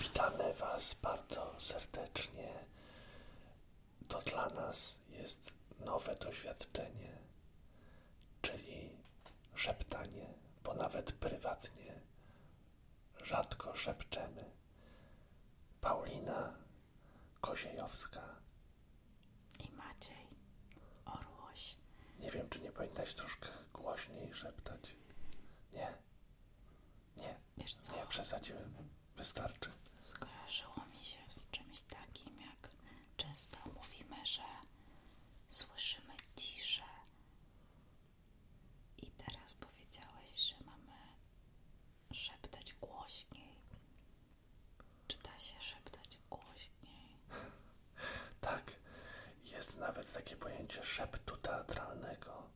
Witamy Was bardzo serdecznie. To dla nas jest nowe doświadczenie, czyli szeptanie, bo nawet prywatnie rzadko szepczemy. Paulina Koziejowska. I Maciej Orłoś. Nie wiem, czy nie powinnaś troszkę głośniej szeptać. Nie. Nie. Wiesz Nie przesadziłem. Wystarczy. Skojarzyło mi się z czymś takim, jak często mówimy, że słyszymy ciszę. I teraz powiedziałeś, że mamy szeptać głośniej. Czy da się szeptać głośniej? tak. Jest nawet takie pojęcie szeptu teatralnego.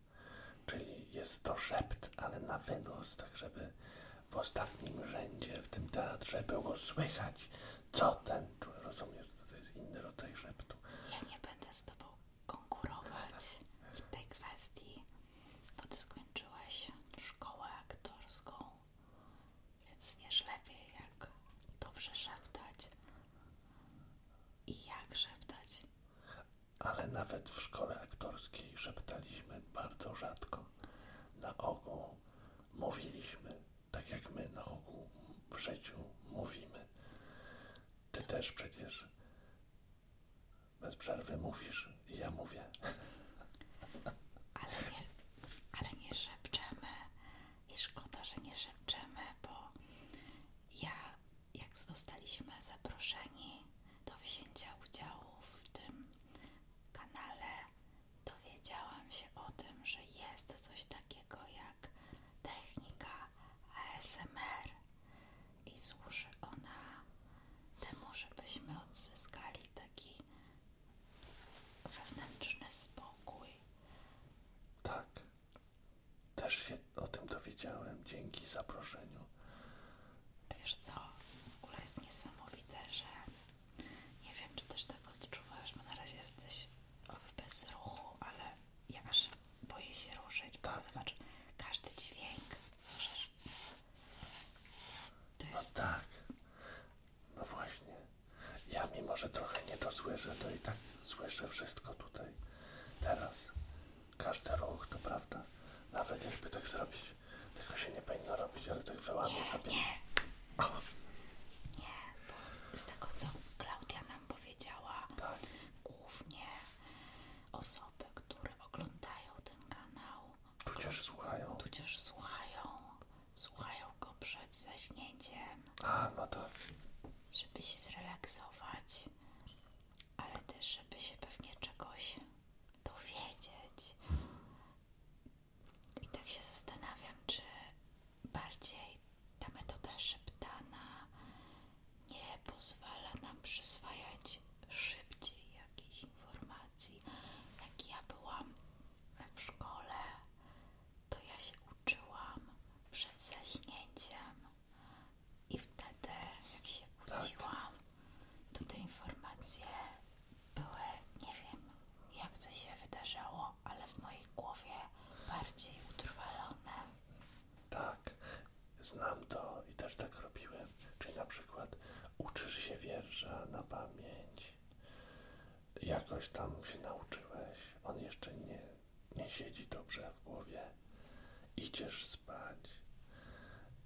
Czyli jest to szept, ale na wynos, tak żeby w ostatnim rzędzie w tym teatrze było słychać, co ten tu rozumiesz, to jest inny rodzaj szeptu. Ja nie będę z tobą konkurować w tej kwestii, bo ty skończyłeś szkołę aktorską, więc wiesz lepiej, jak dobrze szeptać i jak szeptać ale nawet w szkole aktorskiej szeptaliśmy bardzo rzadko. Na ogół mówiliśmy, tak jak my na ogół w życiu mówimy. Ty też przecież bez przerwy mówisz i ja mówię. Ale nie, ale nie szepczemy i szkoda, że nie szepczemy, bo ja jak zostaliśmy zaproszeni do wzięcia udziału w tym kanale, dowiedziałam się o tym, że jest coś takiego jak technika ASMR i służy ona temu, żebyśmy odzyskali taki wewnętrzny spokój. Tak. Też się o tym dowiedziałem dzięki zaproszeniu. Wiesz co, w ogóle jest niesamowite, że nie wiem, czy też tak odczuwasz, bo na razie jesteś w bezruchu, ale ja też boję się ruszyć, tak. bo zobacz, każdy dźwięk, słyszysz? To no jest... No tak, no właśnie. Ja mimo, że trochę nie to słyszę, to i tak słyszę wszystko tutaj, teraz. Każdy ruch, to prawda. Nawet jakby tak zrobić. Tego się nie powinno robić, ale tak wyłamie sobie. Nie. Nie, bo z tego co Klaudia nam powiedziała, tak. głównie osoby, które oglądają ten kanał, tudzież słuchają. Tudzież słuchają, słuchają go przed zaśnięciem. A, no to. Żeby się zrelaksować, ale też, żeby się pewnie czegoś dowiedzieć. I tak się zastanawiam, czy bardziej ta metoda szeptana nie pozwala nam przyswajać szybciej jakichś informacji. Jak ja byłam w szkole, to ja się uczyłam przed zaśnięciem i wtedy, jak się tak. budziłam, to te informacje były, nie wiem jak to się wydarzało, ale w mojej głowie bardziej utrwalone. Tak, znam to i też tak robiłem. Czyli na przykład uczysz się wierza na pamięć. Jakoś tam się nauczyłeś, on jeszcze nie nie siedzi dobrze w głowie, idziesz spać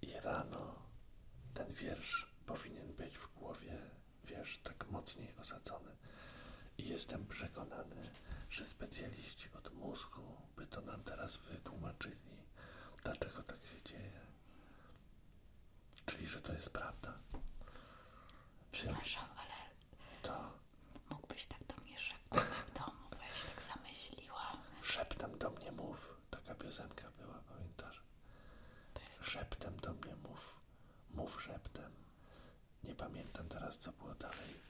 i rano ten wiersz powinien być w głowie, wiesz, tak mocniej osadzony. I jestem przekonany, że specjaliści od mózgu by to nam teraz wytłumaczyli, dlaczego tak się dzieje. Czyli, że to jest prawda. Przepraszam, ale to mógłbyś tak do mnie szeptem w domu, bo tak zamyśliłam. Szeptem do mnie mów. Taka piosenka była, pamiętasz? Jest... Szeptem do mnie mów. Mów szeptem. Nie pamiętam teraz, co było dalej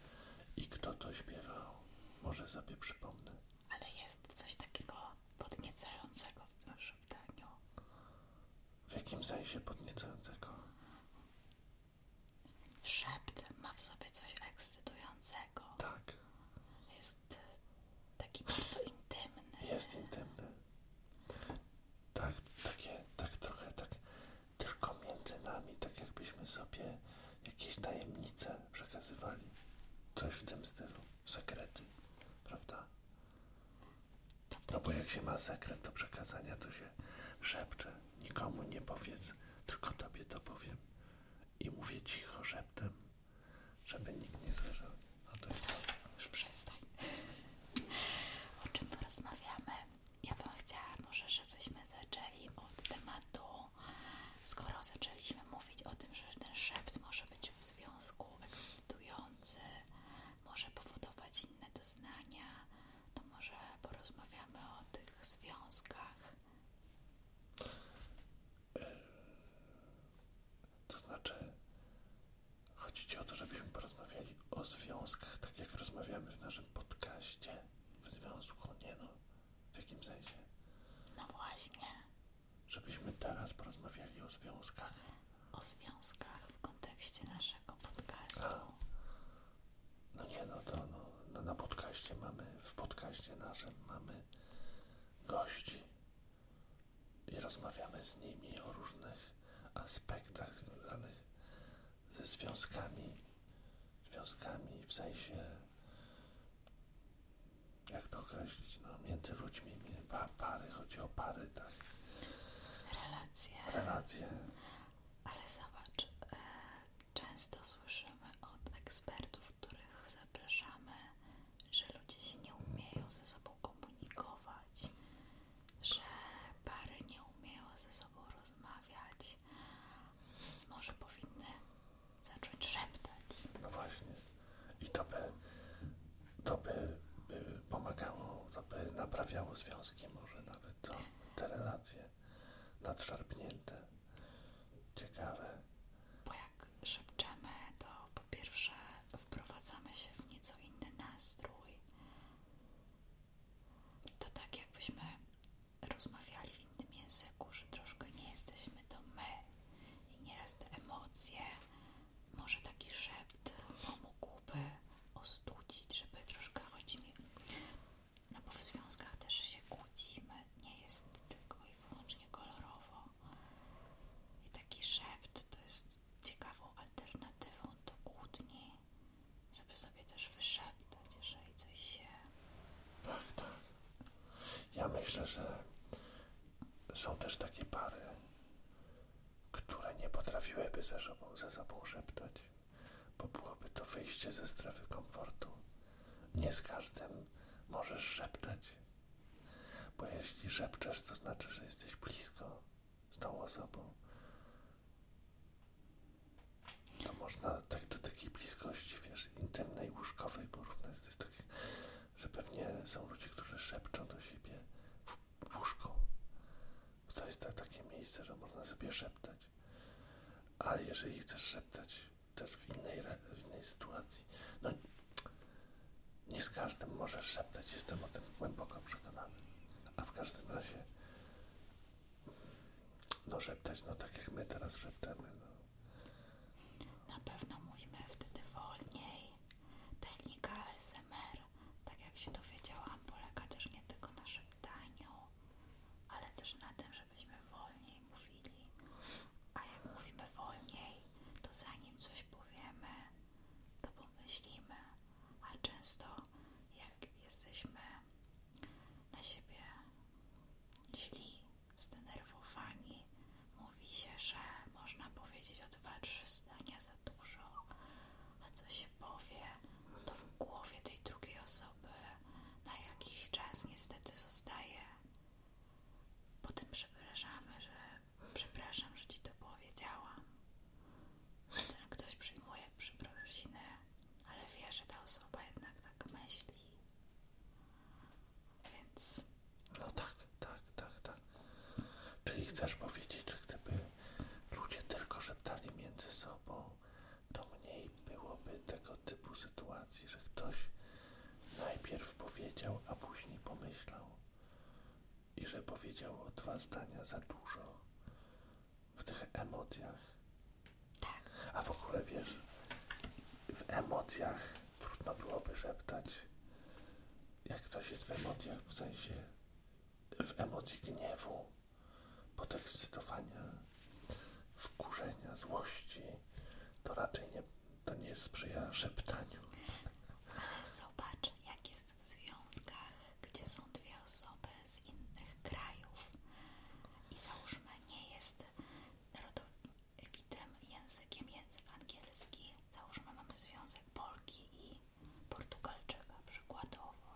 i kto to śpiewał. Może sobie przypomnę. Ale jest coś takiego podniecającego w naszym daniu. W jakim sensie podniecającego? Szept ma w sobie coś ekscytującego. Tak. Jest e, taki bardzo intymny. Jest intymny. Tak, takie, tak trochę tak tylko między nami, tak jakbyśmy sobie jakieś tajemnice przekazywali. Coś w tym stylu. Sekrety, prawda? No bo jak się ma sekret do przekazania, to się szepcze. Nikomu nie powiedz, tylko tobie to powiem i mówię cicho szeptem, żeby nikt nie słyszał. No to jest Już przestań. O czym porozmawiamy? Ja bym chciała może, żebyśmy zaczęli od tematu, skoro zaczęliśmy mówić o tym, że ten szept może być w związku ekscytujący, może powodować inne doznania, to może porozmawiamy o tych związkach to znaczy, chodzi Ci o to, żebyśmy porozmawiali o związkach, tak jak rozmawiamy w naszym podcaście. W związku, nie no, w jakim sensie? No właśnie. Żebyśmy teraz porozmawiali o związkach. O związkach w kontekście naszego podcastu. No nie no, to no na, na podcaście mamy, w podcaście naszym mamy gości i rozmawiamy z nimi o różnych aspektach związanych ze związkami, związkami w sensie, jak to określić, no, między ludźmi, pary, chodzi o pary, tak? Relacje. Ale zobacz, e, Często słyszymy od ekspertów, których zapraszamy, że ludzie się nie umieją ze sobą komunikować, że pary nie umieją ze sobą rozmawiać, więc może powinny zacząć szeptać. No właśnie. I to by, to by, pomagało, to by naprawiało związki może nawet, to, te relacje nadszarpnięte. Ciekawe. Bo jak szepczemy, to po pierwsze wprowadzamy się w nieco inny nastrój. To tak jakbyśmy rozmawiali w innym języku, że troszkę nie jesteśmy to my i nieraz te emocje, może taki szept pomógłby ostudzić, żeby troszkę choć no bo w związkach też się kłócimy, nie jest tylko i wyłącznie kolorowo. I taki szept to jest ciekawą alternatywą do kłótni, żeby sobie też wyszeptać, jeżeli coś się. Tak, tak. Ja myślę, że są też takie pary, które nie potrafiłyby ze sobą, ze sobą szeptać, bo byłoby to wyjście ze strefy komfortu. Nie z każdym możesz szeptać. Bo jeśli szepczesz, to znaczy, że jesteś blisko z tą osobą. To można tak do takiej bliskości, wiesz, intymnej, łóżkowej porównać. To jest takie, że pewnie są ludzie, którzy szepczą do siebie w łóżku. To jest tak, takie miejsce, że można sobie szeptać. Ale jeżeli chcesz szeptać też w innej, innej sytuacji. No, nie z każdym może szeptać, jestem o tym głęboko przekonany. A w każdym razie, no szeptać, no tak jak my teraz szeptamy. No. Na pewno mówimy wtedy wolniej. Technika ASMR, tak jak się dowiedziałam, polega też nie tylko na szeptaniu, ale też na tym, że żebyśmy wolniej mówili. A jak mówimy wolniej, to zanim coś powiemy, to pomyślimy. A często, jak jesteśmy na siebie źli, zdenerwowani, mówi się, że można powiedzieć o dwa, trzy zdania za dużo, a co się powie, to w głowie tej drugiej osoby na jakiś czas niestety zostaje. Potem przepraszamy, że przepraszam, że ci to powiedziałam. Ten ktoś przyjmuje przeprosinę, ale wie, że ta osoba jednak tak myśli. Więc. No tak, tak, tak, tak. Czyli chcesz powiedzieć, że gdyby ludzie tylko szeptali między sobą, to mniej byłoby tego typu sytuacji sytuacji, że ktoś najpierw powiedział, a później pomyślał i że powiedział dwa zdania za dużo w tych emocjach. Tak. A w ogóle wiesz, w emocjach trudno byłoby szeptać. Jak ktoś jest w emocjach, w sensie w emocji gniewu, podekscytowania, wkurzenia, złości, to raczej nie, to nie sprzyja szeptaniu. Ale zobacz, jak jest w związkach, gdzie są dwie osoby z innych krajów i załóżmy nie jest rodowitym językiem język angielski, załóżmy mamy związek Polki i Portugalczyka przykładowo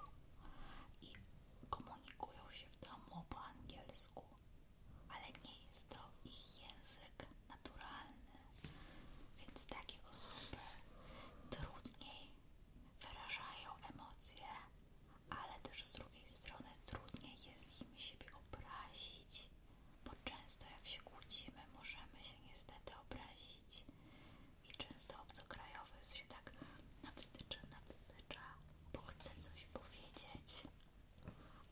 i komunikują się w domu po angielsku ale nie jest to ich język naturalny, więc takie osoby trudniej wyrażają emocje, ale też z drugiej strony trudniej jest im siebie obrazić, bo często jak się kłócimy, możemy się niestety obrazić i często obcokrajowy się tak napstycza, napstycza, bo chce coś powiedzieć,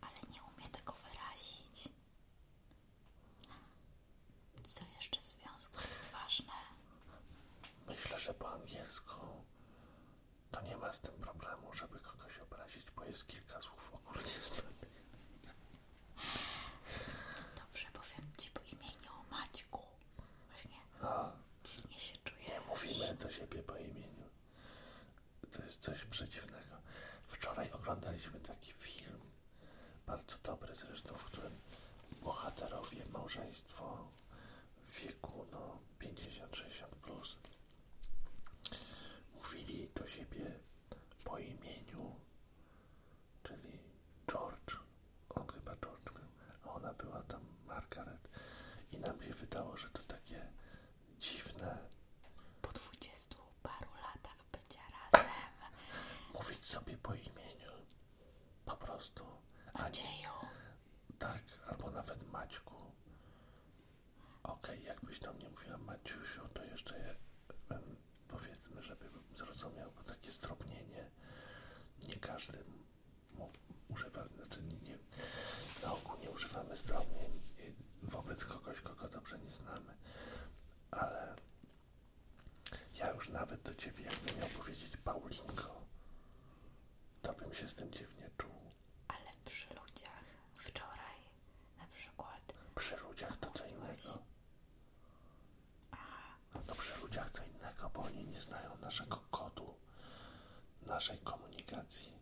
ale nie umie tego wyrazić. Co jeszcze w związku jest ważne? Myślę, że po angielsku to nie ma z tym problemu, żeby kogoś obrazić, bo jest kilka słów ogólnie znanych. No dobrze, powiem Ci po imieniu Maćku. Właśnie A, dziwnie się czuję. Nie mówimy do siebie po imieniu to jest coś przedziwnego. Wczoraj oglądaliśmy taki film, bardzo dobry zresztą, w którym bohaterowie, małżeństwo w wieku no, 50-60 plus mówili do siebie po imieniu, czyli George, on chyba George był, a ona była tam Margaret i nam się wydało, że to takie Dziwne. Po dwudziestu paru latach bycia razem. Mówić sobie po imieniu. Po prostu. Macieju. Tak, albo nawet Maćku. Okej, jakbyś tam nie mówiła Maciusiu, to jeszcze powiedzmy, żebym zrozumiał, bo takie stropnienie nie każdy mógł używa, czy znaczy nie, na ogół nie używamy stromnień wobec kogoś, kogo dobrze nie znamy, ale ja już nawet do ciebie, jakbym miał powiedzieć Paulinko, to bym się z tym dziwnie czuł. Ale przy ludziach wczoraj na przykład. Przy ludziach to co innego. Aha. No przy ludziach to innego, bo oni nie znają naszego kodu, naszej komunikacji.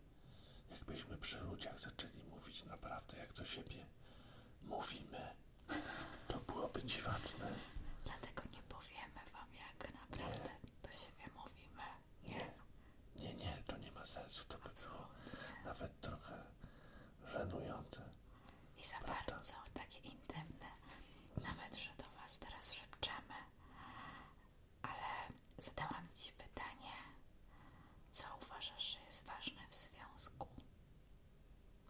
Jakbyśmy przy ludziach zaczęli mówić naprawdę jak do siebie mówimy, to byłoby dziwaczne. Dlatego nie powiemy wam jak naprawdę do siebie mówimy. Nie. Nie, nie, to nie ma sensu. To by było nawet trochę żenujące. I za Prawda? takie intymne. Nawet, że do was teraz szepczemy, ale zadałam Ci pytanie, co uważasz, że jest ważne w związku?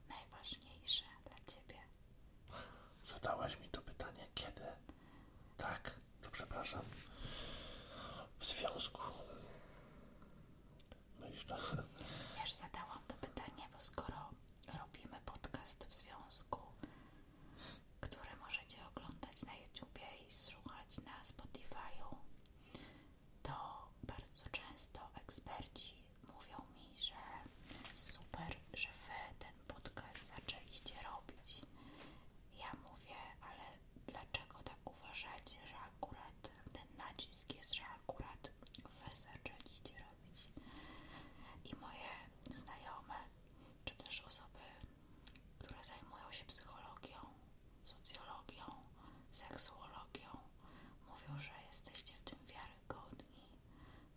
Najważniejsze dla Ciebie. Zadałaś mi to pytanie kiedy? Tak, to przepraszam. W związku. Myślę. Wiesz, zadałam to pytanie, bo skoro robimy podcast w związku, który możecie oglądać na YouTubie i słuchać na Spotify'u, to bardzo często eksperci mówią mi, że super, że wy ten podcast zaczęliście robić. Ja mówię, ale dlaczego tak uważacie, że akurat ten nacisk jest, że akurat wy zaczęliście robić? I moje znajome, czy też osoby które zajmują się psychologią, socjologią, seksuologią, mówią, że jesteście w tym wiarygodni,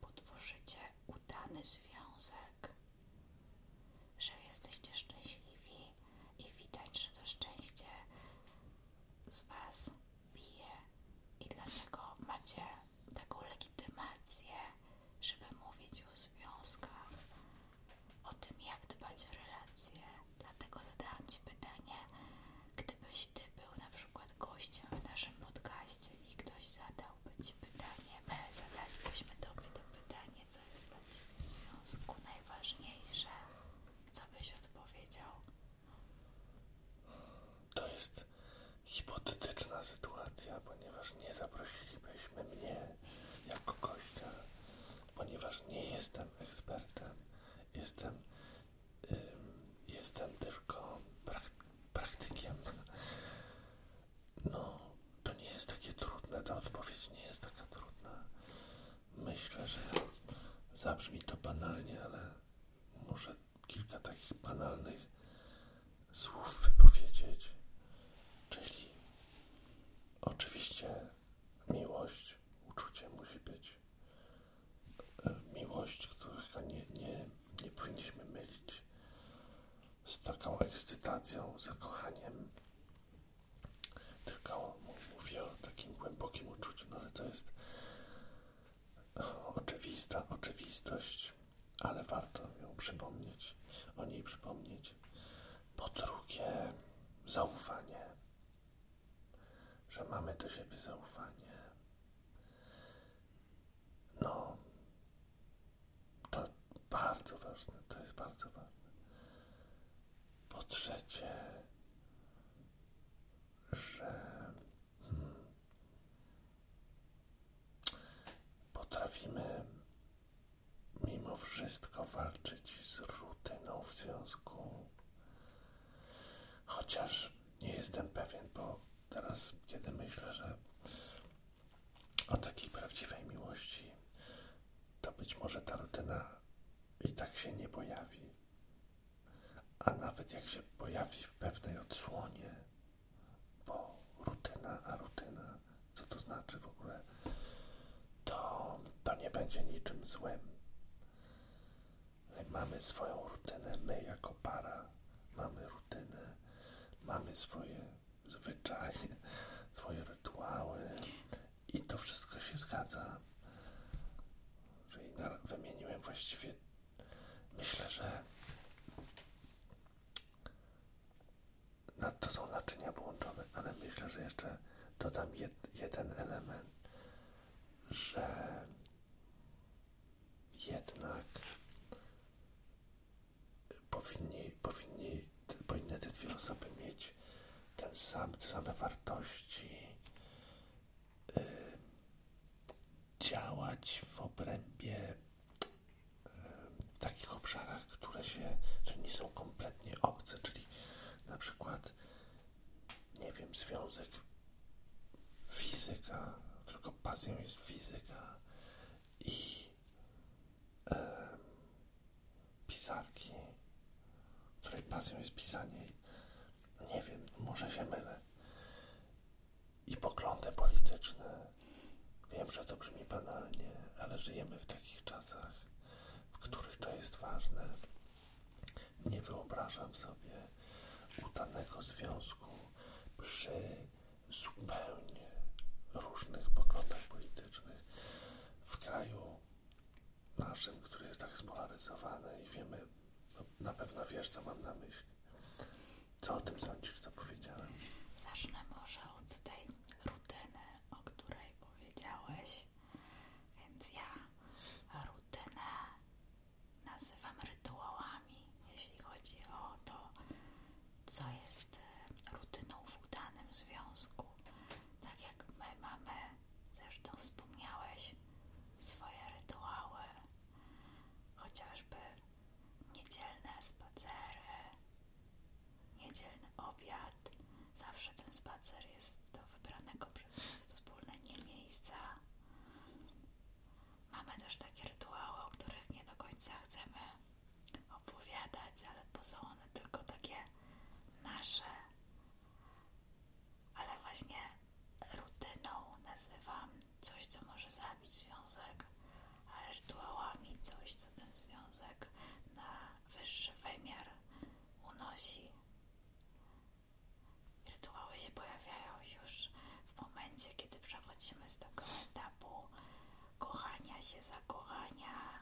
potworzycie udany związek, że jesteście szczęśliwi i widać, że to szczęście z Was bije i dlatego macie taką legitymację, żeby mówić o związkach o tym, jak dbać o relacje. Dlatego zadałam Ci pytanie, gdybyś Ty był na przykład gościem w naszym podcaście i ktoś zadałby Ci pytanie, my zadalibyśmy Tobie to pytanie, co jest dla w związku najważniejsze, co byś odpowiedział? To jest hipotetyczna sytuacja, ponieważ nie zaprosilibyśmy mnie jako gościa ponieważ nie jestem ekspertem, jestem, y, jestem tylko praktykiem. No, to nie jest takie trudne, ta odpowiedź nie jest taka trudna. Myślę, że zabrzmi to banalnie, ale muszę kilka takich banalnych słów wypowiedzieć. Czyli oczywiście miłość, uczucie musi być. E, miłość, której nie, nie, nie powinniśmy mylić z taką ekscytacją, zakochaniem. Tylko mówię o takim głębokim uczuciu, no ale to jest no, oczywista oczywistość, ale warto ją przypomnieć, o niej przypomnieć, po drugie, zaufanie, że mamy do siebie zaufanie. No, to bardzo ważne, to jest bardzo ważne. Po trzecie, że hmm, potrafimy mimo wszystko walczyć z rutyną w związku. Chociaż nie jestem pewien, bo teraz, kiedy myślę, że o takiej prawdziwej miłości, to być może ta rutyna i tak się nie pojawi. A nawet jak się pojawi w pewnej odsłonie, bo rutyna, a rutyna, co to znaczy w ogóle? to, to nie będzie niczym złym. Mamy swoją rutynę, my jako para mamy rutynę, mamy swoje zwyczaje, swoje rytuały i to wszystko się zgadza. Czyli wymieniłem właściwie, myślę, że na to są naczynia połączone, ale myślę, że jeszcze dodam jedno jeden element, że jednak powinni, powinni, powinny te dwie osoby mieć te same wartości, y, działać w obrębie y, takich obszarach, które się, które nie są kompletnie obce, czyli na przykład, nie wiem, związek fizyka, tylko pasją jest fizyka i pisarki, której pasją jest pisanie. Nie wiem, może się mylę. I poglądy polityczne. Wiem, że to brzmi banalnie, ale żyjemy w takich czasach, w których to jest ważne. Nie wyobrażam sobie udanego związku przy zupełnie różnych poglądach politycznych w kraju naszym, który jest tak spolaryzowany i wiemy, no, na pewno wiesz, co mam na myśli. Co o tym sądzisz, co powiedziałem? Zacznę może od tej rutyny, o której powiedziałeś. Więc ja rutynę nazywam rytuałami, jeśli chodzi o to, co jest e, rutyną w udanym związku. Tak jak my mamy, zresztą wspomniałeś, swoje rytuały, chociażby niedzielne spacery, niedzielny obiad. Zawsze ten spacer jest do wybranego przez nas wspólne nie miejsca. Mamy też takie rytuały, o których nie do końca chcemy opowiadać, ale bo są one tylko takie nasze. Ale właśnie rutyną nazywam coś, co może zabić związek, a rytuałami coś, co ten związek na wyższy wymiar unosi. Rytuały się pojawiają już w momencie, kiedy przechodzimy z tego etapu kochania się, zakochania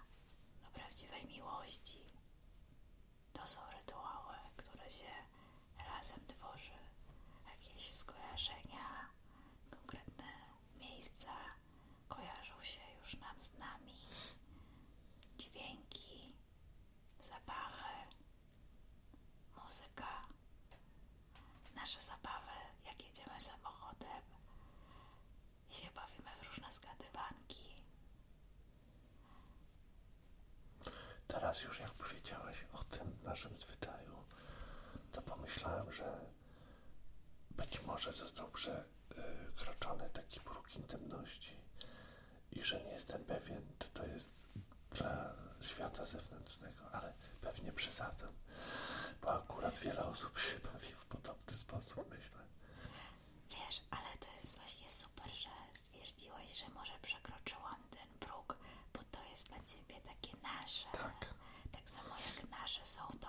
do prawdziwej miłości. To są rytuały, które się razem tworzy. Jakieś skojarzenia, konkretne miejsca kojarzą się już nam z nami dźwięki, zapachy, muzyka, nasze zabawy, jak jedziemy samochodem i się bawimy w różne zgadywanki. Teraz już jak powiedziałeś o tym naszym zwyczaju, to pomyślałem, że być może został prze, E, kroczony taki próg intymności i że nie jestem pewien, czy to jest dla świata zewnętrznego, ale pewnie przesadzam, bo akurat wiele osób się bawi w podobny sposób, myślę. Wiesz, ale to jest właśnie super, że stwierdziłeś, że może przekroczyłam ten próg, bo to jest dla ciebie takie nasze. Tak. Tak samo jak nasze są, to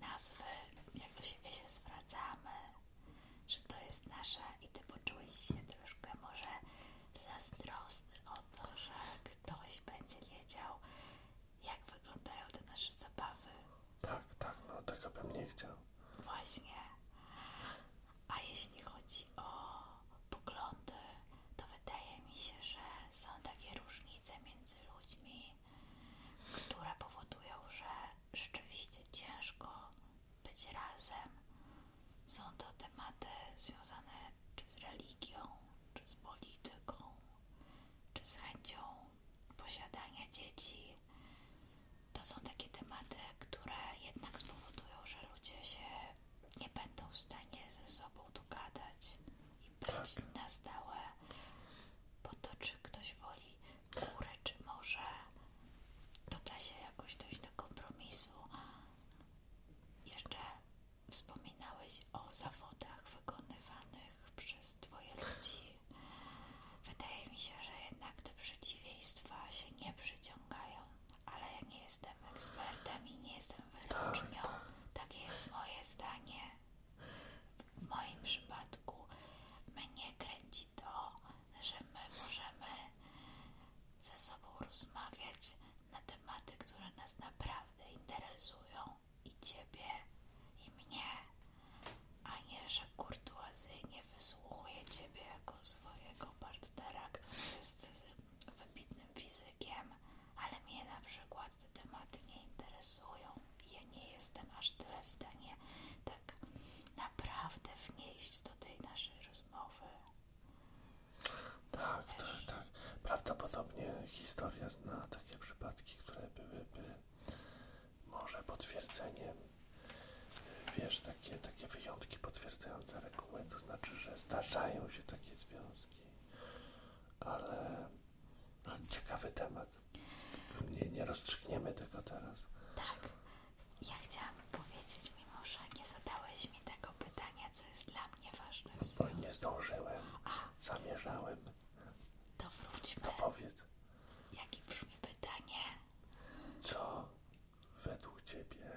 nazwy, jak do siebie się zwracamy, że to jest nasze i ty poczułeś się troszkę może zazdrosny o to, że ktoś będzie wiedział, jak wyglądają te nasze zabawy. Tak, tak, no tego bym nie chciał. Właśnie. A jeśli chodzi o poglądy, to wydaje mi się, że są takie różnice między ludźmi, które powodują, że rzeczywiście ciężko być razem. Są to tematy związane czy z religią, czy z polityką, czy z chęcią posiadania dzieci. To są takie tematy, które jednak spowodują, że ludzie się nie będą w stanie ze sobą dogadać i być tak. na stałe. Po to, czy ktoś woli górę, czy może to da się jakoś dojść do kompromisu. Jeszcze wspominałeś o zawodach wykonywanych przez twoje ludzi. Wydaje mi się, że jednak te przeciwieństwa się nie przyciągają, ale ja nie jestem ekspertem i nie jestem wyrocznią. Takie tak. tak jest moje zdanie. W moim przypadku mnie kręci to, że my możemy ze sobą rozmawiać na tematy, które nas naprawdę interesują i ciebie, i mnie, a nie, że kurtuazyjnie wysłuchuje ciebie jako swojego partnera, który jest wybitnym fizykiem, ale mnie na przykład te tematy nie interesują. Ja nie jestem aż tyle w stanie tak naprawdę wnieść do tej naszej rozmowy. Tak, tak, tak, Prawdopodobnie historia zna takie przypadki, które byłyby może potwierdzeniem. Wiesz, takie, takie wyjątki potwierdzające regułę, to znaczy, że zdarzają się takie związki, ale ciekawy temat. Nie, nie tego teraz. Tak. Ja chciałam powiedzieć, mimo że nie zadałeś mi tego pytania, co jest dla mnie ważne. No, bo nie zdążyłem. Zamierzałem. To wróćmy. To powiedz. Jakie brzmi pytanie? Co według Ciebie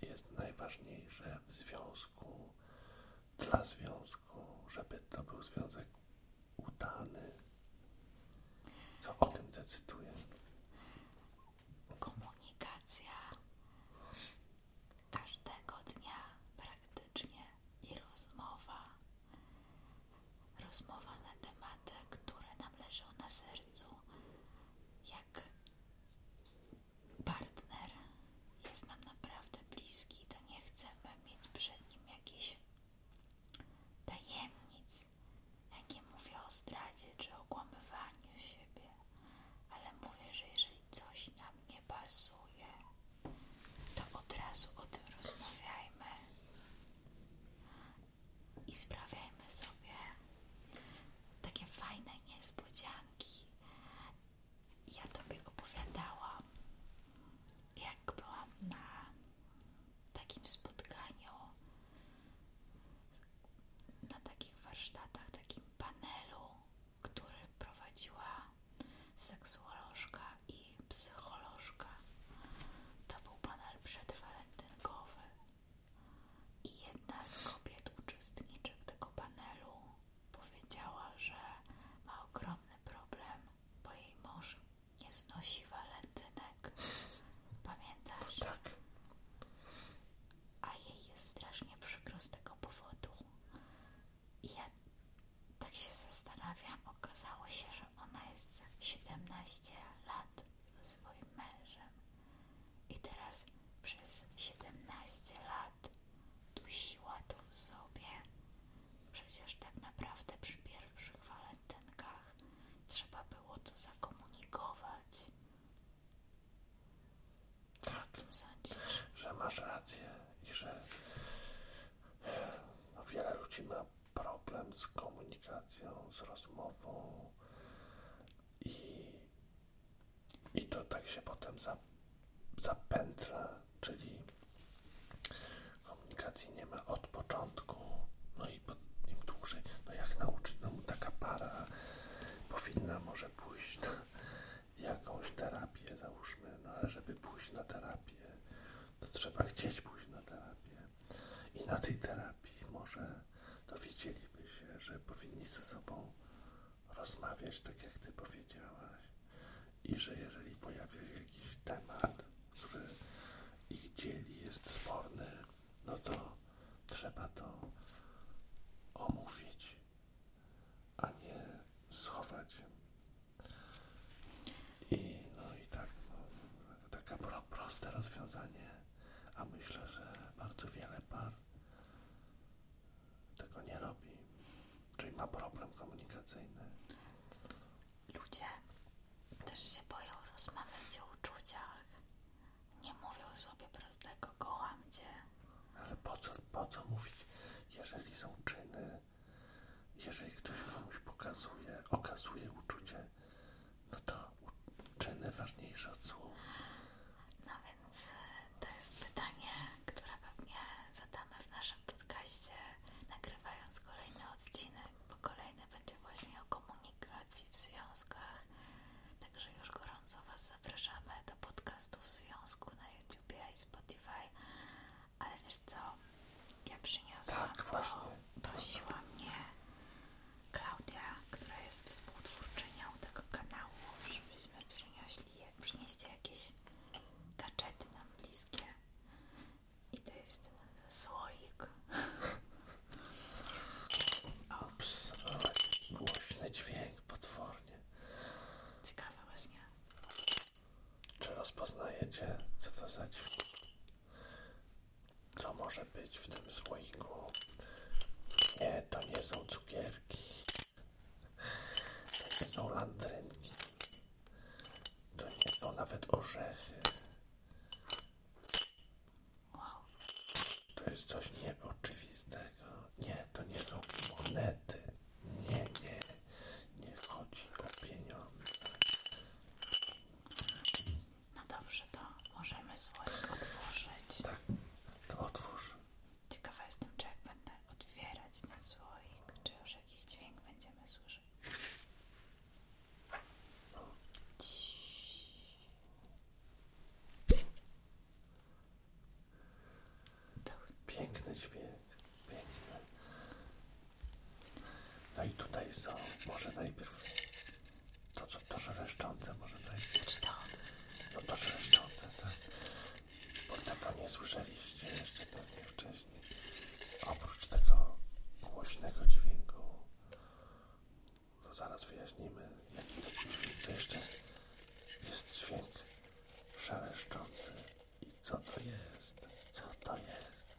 jest najważniejsze w związku, dla związku, żeby to był związek udany. Co o tym decyduje? Komunikacja każdego dnia praktycznie i rozmowa. Rozmowa na tematy, które nam leżą na sercu. Jak partner jest nam naprawdę bliski, to nie chcemy mieć przed nim jakichś tajemnic nie mówię o zdradzie czy okłamywaniu siebie, ale mówię, że jeżeli coś nam nie pasuje, to od razu o tym rozmawiajmy i sprawiajmy sobie takie fajne niespodzianki. Ja Tobie opowiadałam, jak byłam na takim spotkaniu, na takich warsztatach, takim panelu, który prowadziła seksuolożka i psycholożka. To był panel przedwalentynkowy i jedna z kobiet uczestniczek tego panelu powiedziała, że ma ogromny problem, bo jej mąż nie znosi walentynek. Tak? Pamiętasz? Tak. A jej jest strasznie przykro z tego powodu. I ja tak się zastanawiam, okazało się, że ona jest 17 lat swoim mężem. I teraz przez 17 lat dusiła to w sobie. Przecież tak naprawdę przy pierwszych falach walentynkach. Trzeba było to zakomunikować. Co o tym sądzisz? Że masz rację i że no, wiele ludzi ma problem z komunikacją, z rozmową i, i to tak się potem zapętla, czyli komunikacji nie ma od początku, no i nim dłużej, no jak nauczyć, no taka para powinna może pójść na jakąś terapię, załóżmy, no ale żeby pójść na terapię, to trzeba chcieć pójść na terapię i na tej terapii może dowiedzieliby się, że powinni ze sobą rozmawiać, tak jak Ty powiedziałaś i że jeżeli pojawia się jakiś temat, który ich dzieli, jest sporny, no to trzeba to omówić, a nie schować. I no i tak, no, takie proste rozwiązanie, a myślę, że bardzo wiele par tego nie robi, czyli ma problem komunikacyjny ludzie też się boją rozmawiać o uczuciach. Nie mówią sobie prostego kocham cię. Ale po co, po co mówić, jeżeli są czyny, jeżeli ktoś komuś pokazuje, okazuje uczucie, no to czyny ważniejsze od słów. No więc e, to jest pytanie, które pewnie zadamy w naszym podcaście, nagrywając kolejne odcinek kolejne będzie właśnie o komunikacji w związkach. Także już gorąco Was zapraszamy do podcastów w związku na YouTubie i Spotify. Ale wiesz co? Ja przyniosłam, tak, prosiła mnie Klaudia, która jest współtwórczynią tego kanału, żebyśmy przynieśli, przynieśli jakieś gadżety nam bliskie. I to jest słoik. Absolutnie głośny dźwięk, potwornie. Ciekawe właśnie. Czy rozpoznajecie, co to za dźwięk? Co może być w tym słoiku? Nie, to nie są cukierki. To nie są landrynki. To nie są nawet orzechy. To jest coś nieoczywistego. Nie, to nie są monety. Nie, nie. Nie chodzi o pieniądze. No dobrze, to możemy słoik otworzyć. Tak, to otwórz. Ciekawa jestem, czy jak będę otwierać ten słoik, czy już jakiś dźwięk będziemy słyszeć. Piękny dźwięk, piękny. No i tutaj są, może najpierw to, co to żereszczące, może najpierw. To? No to żereszczące, tak. Bo tego nie słyszeliście jeszcze pewnie wcześniej. Oprócz tego głośnego dźwięku to zaraz wyjaśnimy, jaki to jeszcze jest dźwięk szeleszczący i co to jest, co to jest.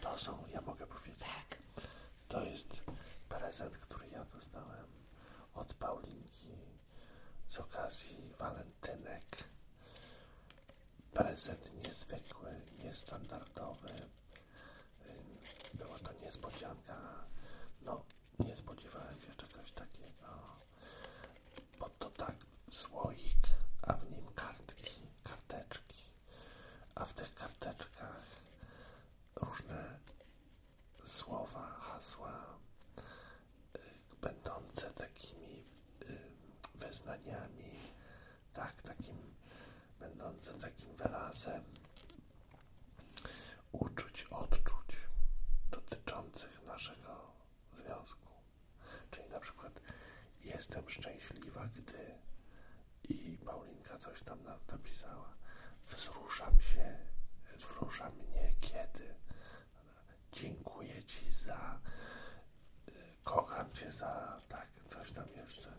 To są, ja mogę powiedzieć, tak. to jest prezent, który ja dostałem od Paulinki z okazji walentynek prezent niezwykły, niestandardowy, Y, była to niespodzianka. No, nie spodziewałem się czegoś takiego. Bo to tak, słoik, a w nim kartki, karteczki. A w tych karteczkach różne słowa, hasła y, będące takimi y, wyznaniami, tak, takim będącym takim wyrazem uczuć, odczuć dotyczących naszego związku. Czyli na przykład jestem szczęśliwa, gdy i Paulinka coś tam napisała. Wzruszam się, wzrusza mnie kiedy. Dziękuję Ci za, y, kocham Cię za, tak, coś tam jeszcze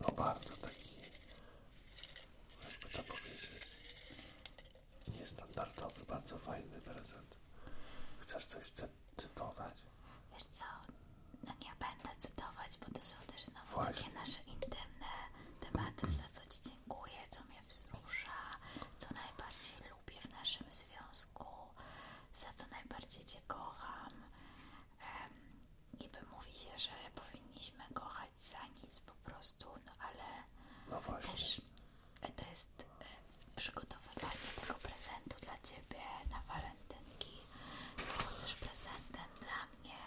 no bardzo taki, jakby co powiedzieć, niestandardowy, bardzo fajny prezent. Chcesz coś cy cytować? Wiesz co, no nie będę cytować, bo to są też znowu Właśnie. nasze intymne tematy, za co Ci dziękuję, co mnie wzrusza, co najbardziej lubię w naszym związku, za co najbardziej Cię kocham niby mówi się, że powinniśmy kochać za nic po prostu, no ale no też e, to jest e, przygotowywanie tego prezentu dla Ciebie na walentynki było też prezentem dla mnie,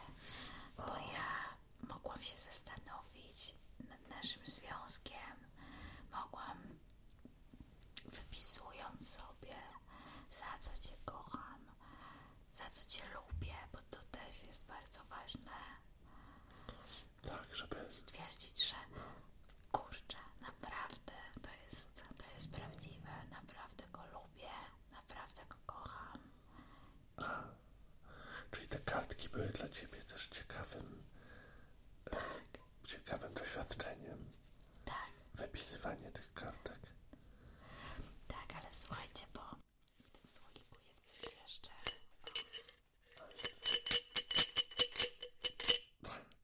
bo ja mogłam się zastanowić nad naszym związkiem, mogłam wypisując sobie, za co Cię kocham, za co Cię lubię, bo to też jest bardzo ważne. Tak, żeby stwierdzić, że kurczę, naprawdę to jest, to jest prawdziwe, naprawdę go lubię, naprawdę go kocham. A, czyli te kartki były dla Ciebie też ciekawym, e, tak. ciekawym doświadczeniem. Tak. Wypisywanie tych kartek. Tak, ale słuchajcie, bo w tym słoiku jest coś jeszcze.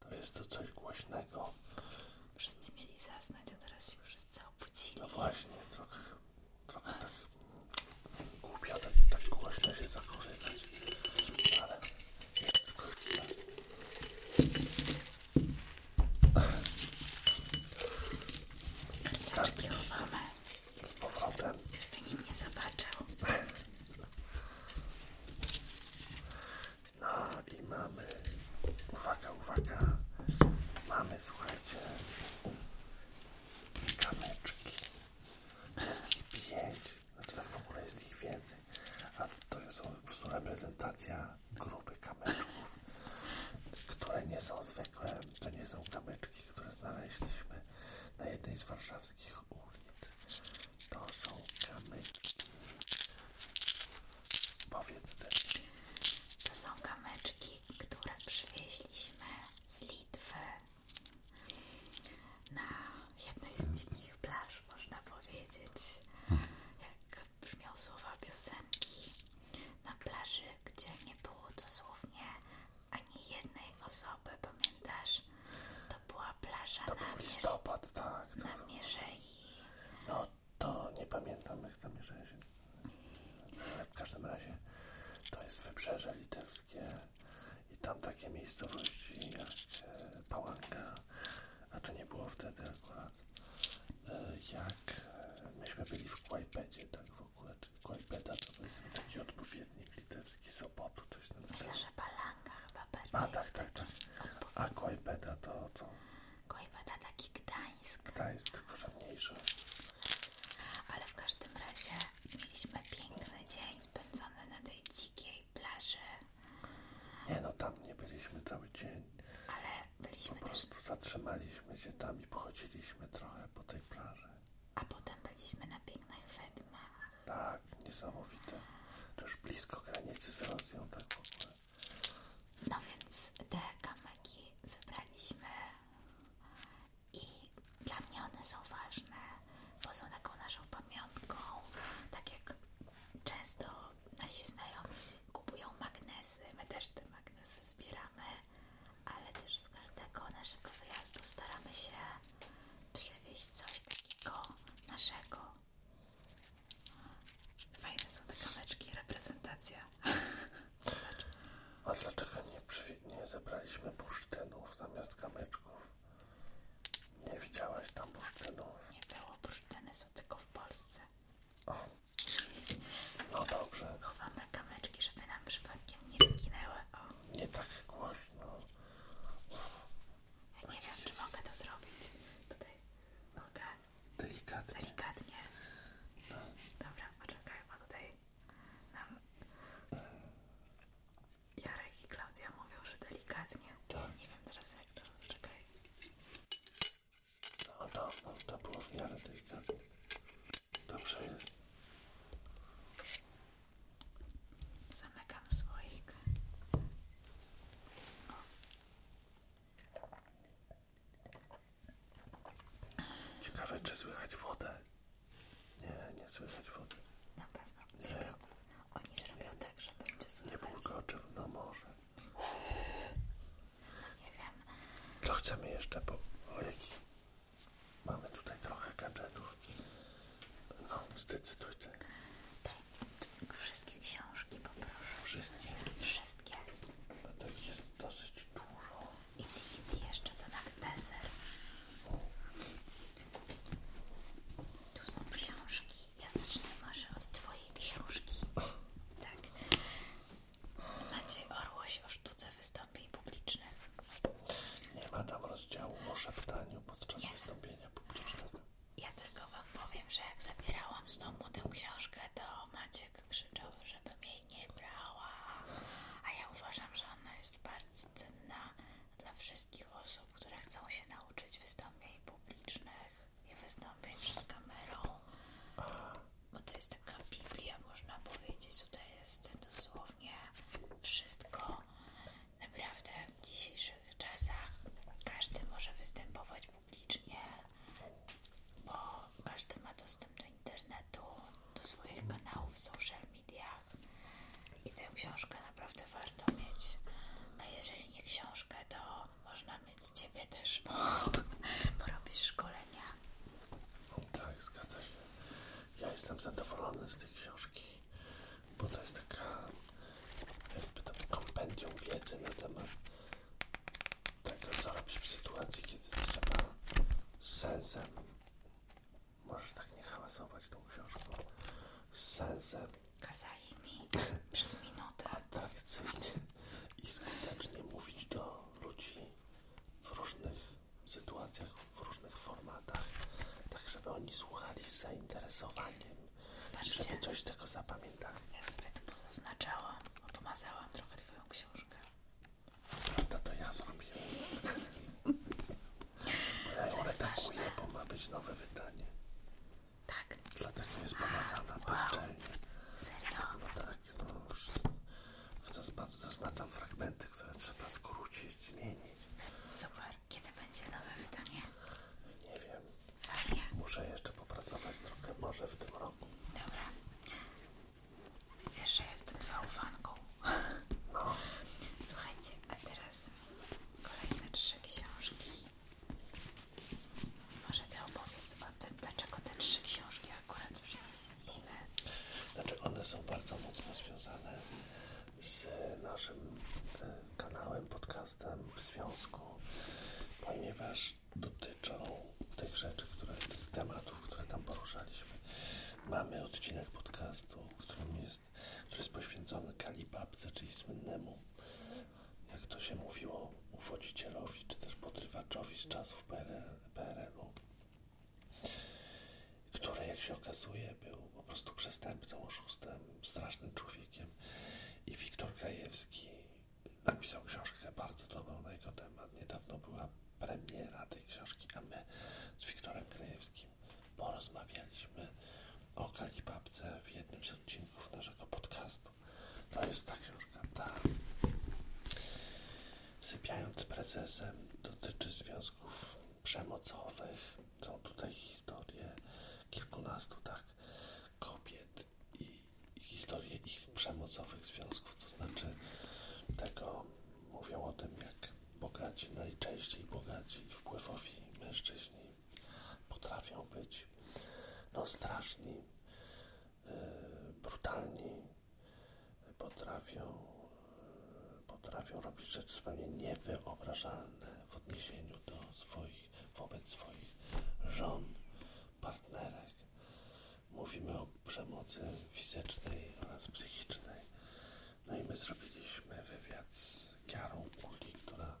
To jest to coś głośnego. Wszyscy mieli zasnąć, a teraz się całą obudzili. No właśnie, trochę, trochę tak głupio, tak, tak głośno się zakorywać. Ale tylko Caczki chowamy. Powrotem. Żeby nikt nie zobaczył. No i mamy. Uwaga, uwaga. Mamy, słuchajcie, kameczki. Jest ich pięć. Znaczy tak w ogóle jest ich więcej. A to jest po prostu reprezentacja grupy kamyczków, które nie są zwykłe. To nie są kamyczki, które znaleźliśmy na jednej z warszawskich ulic. To są kamyczki. Powiedz ty. To są kamyczki, które przywieźliśmy z Litwy na jednej z dzikich plaż, można powiedzieć. Jak brzmią słowa piosenki na plaży, gdzie nie było dosłownie ani jednej osoby, pamiętasz? To była plaża to na, był listopad, tak, na tak. Mierzei. No to nie pamiętam jak tam Mierzei się... Ale w każdym razie to jest wybrzeże litewskie i tam takie miejscowości jak e, Pałanka, a to nie było wtedy akurat E, jak e, myśmy byli w Kłajpedzie, tak w ogóle, czy Kłajpeda to powiedzmy taki odpowiednik litewski Sopotu, coś tam. Myślę, że Balanga chyba bardziej. A tak, tak, tak. A Kłajpeda to, to... Kłajpeda taki Gdańsk. Gdańsk, tylko że mniejszy. Ale w każdym razie mieliśmy piękny dzień spędzony na tej dzikiej plaży nie no, tam nie byliśmy cały dzień. Ale byliśmy po prostu zatrzymaliśmy się tam i pochodziliśmy trochę po tej plaży. A potem byliśmy na pięknych Wedmach. Tak, niesamowite. To już blisko granicy z Rosją, tak w ogóle. No więc te kamyki zebraliśmy i dla mnie one są ważne, bo są taką naszą pamiątką, tak jak często nasi znajomi kupują magnesy, my też te magnesy zbieramy, ale też z każdego naszego wyjazdu staramy się przywieźć coś takiego naszego. Fajne są te kamyczki, reprezentacja. A dlaczego nie, zebraliśmy bursztynów zamiast kamyczków? Nie widziałaś tam bursztynów? Nie było bursztyny, są tylko w Polsce. No dobrze. Chowamy kamyczki, żeby nam przypadkiem nie zginęły. Nie tak głośno. Ja nie wiem, czy mogę to zrobić. Tutaj mogę. Delikatnie. Delikatnie. Dobra, poczekaj, bo tutaj nam Jarek i Klaudia mówią, że delikatnie. Tak. Nie wiem teraz jak to. Poczekaj. No to, to było w miarę tej karty. Dobrze jest. Zamykam słoik. O. Ciekawe, czy słychać wodę. Nie, nie słychać wody. Na pewno. Zrobią, oni zrobią tak, że będzie słychać. Nie bulgocze, no może nie wiem. To chcemy jeszcze po... Mamy tutaj trochę gadżetów. No, zdecyduj ty. wszystkie książki poproszę. Wszystkie. Wszystkie. No to jest dosyć dużo. I DVD jeszcze to na deser. Tu są książki. Ja zacznę może od twojej książki. Tak. Maciej Orłoś o sztuce wystąpień publicznych. Nie ma tam rozdziału o szeptaniu podczas ja, wystąpienia publicznego. Ja tylko wam powiem, że jak zabierałam z domu tę książkę, to Maciek krzyczał, żebym jej nie brała. A ja uważam, że ona jest bardzo cenna dla wszystkich osób, które chcą się nauczyć wystąpień publicznych nie wystąpię przed kamerą, bo to jest taka Biblia, można powiedzieć. Tutaj jest dosłownie wszystko. Naprawdę w dzisiejszych czasach każdy może występować publicznie, bo każdy ma dostęp do internetu, do swoich kanałów social mediach i tę książkę naprawdę warto mieć. A jeżeli nie książkę, to można mieć Ciebie też, porobić szkolenia. Tak, zgadza się. Ja jestem zadowolony z tej książki, bo to jest taka jakby kompendium wiedzy na temat tego, co robisz w sytuacji, kiedy trzeba z sensem, możesz tak nie hałasować tą książką, z sensem. Kazali mi przez minutę. tak Atrakcyjnie i skutecznie mówić do ludzi w różnych sytuacjach, w różnych formatach, tak żeby oni słuchali z zainteresowaniem i żeby coś z tego zapamiętali. Ja sobie tu pozaznaczałam, pomazałam trochę Twoją książkę. Prawda, to ja zrobiłem. Ale ją redaguję, bo ma być nowe wydanie. Tak. Dlatego jest pomazana wow, bezczelnie. Wow. Serio? No tak, no już zaznaczam fragmenty, które trzeba skrócić, zmienić. Super. Kiedy będzie nowe wydanie? Nie wiem. Fajnie. Muszę jeszcze popracować trochę, może w tym roku. Dobra. Wiesz, że jestem fałfanką. No. Słuchajcie, a teraz kolejne trzy książki. Może ty opowiedz o tym, dlaczego te trzy książki akurat już wzięliśmy. Znaczy one są bardzo mocno związane z naszym e, kanałem, podcastem w związku, ponieważ dotyczą tych rzeczy, tych tematów, które tam poruszaliśmy. Mamy odcinek podcastu, którym jest, który jest poświęcony Kalibabce, czyli słynnemu jak to się mówiło, uwodzicielowi czy też podrywaczowi z czasów PRL-u, który, jak się okazuje, był po prostu przestępcą, oszustem, strasznym człowiekiem. I Wiktor Krajewski napisał książkę bardzo dobrą na jego temat. Niedawno była premiera tej książki, a my z Wiktorem Krajewskim porozmawialiśmy o Kalipapce w jednym z odcinków naszego podcastu. To jest ta książka, ta. Sypiając prezesem dotyczy związków przemocowych. Są tutaj historie kilkunastu tak kobiet i, i historie ich przemocowych związków, to znaczy tego mówią o tym, jak bogaci, najczęściej bogaci wpływowi mężczyźni potrafią być no straszni E, brutalni, potrafią, e, potrafią robić rzeczy zupełnie niewyobrażalne w odniesieniu do swoich, wobec swoich żon, partnerek. Mówimy o przemocy fizycznej oraz psychicznej. No i my zrobiliśmy wywiad z Kiarą Kuli, która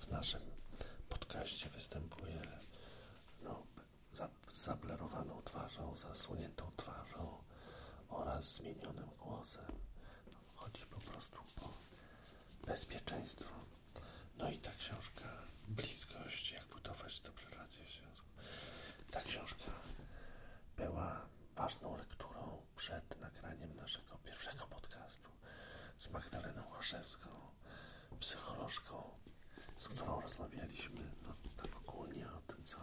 w naszym podcaście występuje no, zablerowaną twarzą, zasłoniętą twarzą oraz zmienionym głosem. Chodzi po prostu o bezpieczeństwo. No i ta książka, bliskość, jak budować dobrze relacje w związku. Ta książka była ważną lekturą przed nagraniem naszego pierwszego podcastu z Magdaleną Oszewską psycholożką, z którą rozmawialiśmy no, tak ogólnie o tym, co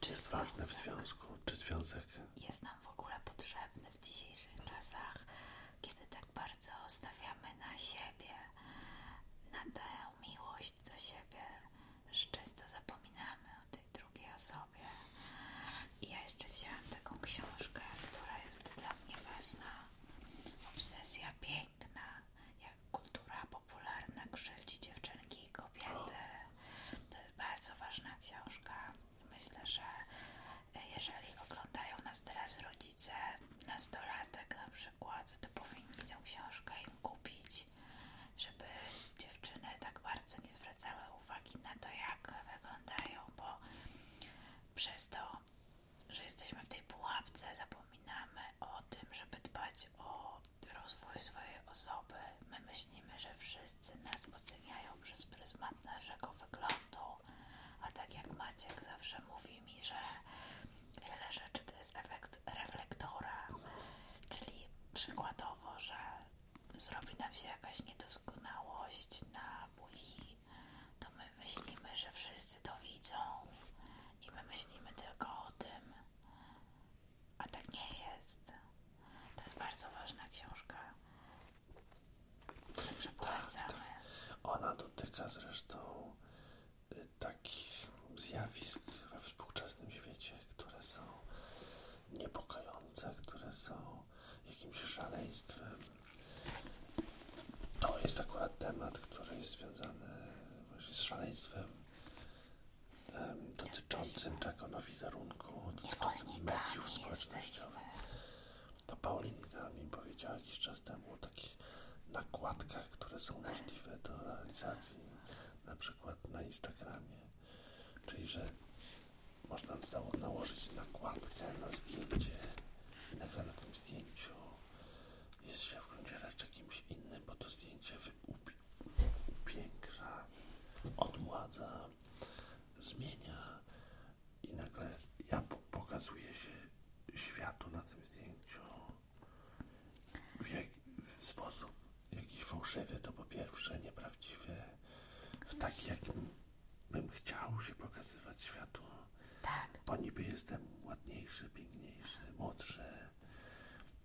czy jest związek, ważne w związku, czy związek jest nam w ogóle potrzebny w dzisiejszych czasach, kiedy tak bardzo stawiamy na siebie, na tę miłość do siebie, że często zapominamy o tej drugiej osobie. I ja jeszcze wzięłam taką książkę, która jest dla mnie ważna. Obsesja piękna piękna, jak kultura popularna krzywdzi dziewczynki i kobiety. To jest bardzo ważna książka. Myślę, że jeżeli oglądają nas teraz rodzice, nastolatek na przykład, to powinni tę książkę im kupić, żeby dziewczyny tak bardzo nie zwracały uwagi na to, jak wyglądają, bo przez to że jesteśmy w tej pułapce, zapominamy o tym, żeby dbać o rozwój swojej osoby. My myślimy, że wszyscy nas oceniają przez pryzmat naszego wyglądu, a tak jak Maciek zawsze mówi mi, że wiele rzeczy to jest efekt reflektora, czyli przykładowo, że zrobi nam się jakaś niedoskonałość na buzi to my myślimy, że wszyscy to widzą i my myślimy tylko o tym, a tak nie jest. To jest bardzo ważna książka. Także tak. polecamy. Tak, ona dotyka zresztą y, takich zjawisk we współczesnym świecie, które są niepokojące, które są jakimś szaleństwem, to no, jest akurat temat, który jest związany z szaleństwem um, dotyczącym czego no wizerunku, dotyczącym mediów społecznościowych. To Paulinka mi powiedziała jakiś czas temu o takich nakładkach, które są możliwe do realizacji na przykład na Instagramie. Czyli, że można nałożyć nakładkę na zdjęcie i nagle na tym zdjęciu jest się w gruncie rzeczy kimś innym, bo to zdjęcie upiększa, odmładza, zmienia i nagle ja pokazuję się światu na tym zdjęciu w, jak, w sposób jakiś fałszywy, to po pierwsze nieprawdziwy, w taki jakim bym chciał się pokazywać światu. Tak. Bo niby jestem ładniejszy, piękniejszy, młodszy.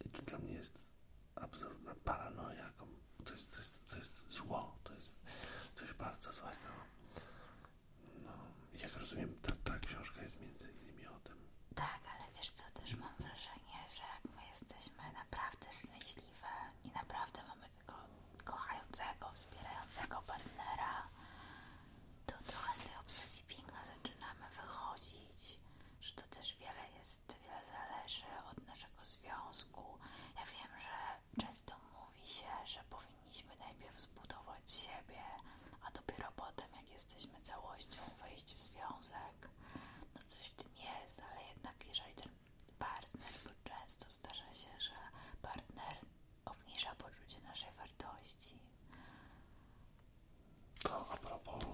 I to dla mnie jest absurdna paranoia, To jest, to jest, zło, to jest coś bardzo złego. No, jak rozumiem, ta, książka jest między innymi o tym. Tak, ale wiesz co, też mam wrażenie, że jak my jesteśmy naprawdę szczęśliwe i naprawdę mamy tego kochającego, wspierającego partnera, to trochę z tej obsesji piękna zaczynamy wychodzić, że to też wiele jest, wiele zależy od naszego związku. Ja wiem, że często mówi się, że powinniśmy najpierw zbudować siebie, a dopiero potem, jak jesteśmy całością, wejść w związek. No coś w tym jest, ale jednak jeżeli ten partner, bo często zdarza się, że partner obniża poczucie naszej wartości. To a propos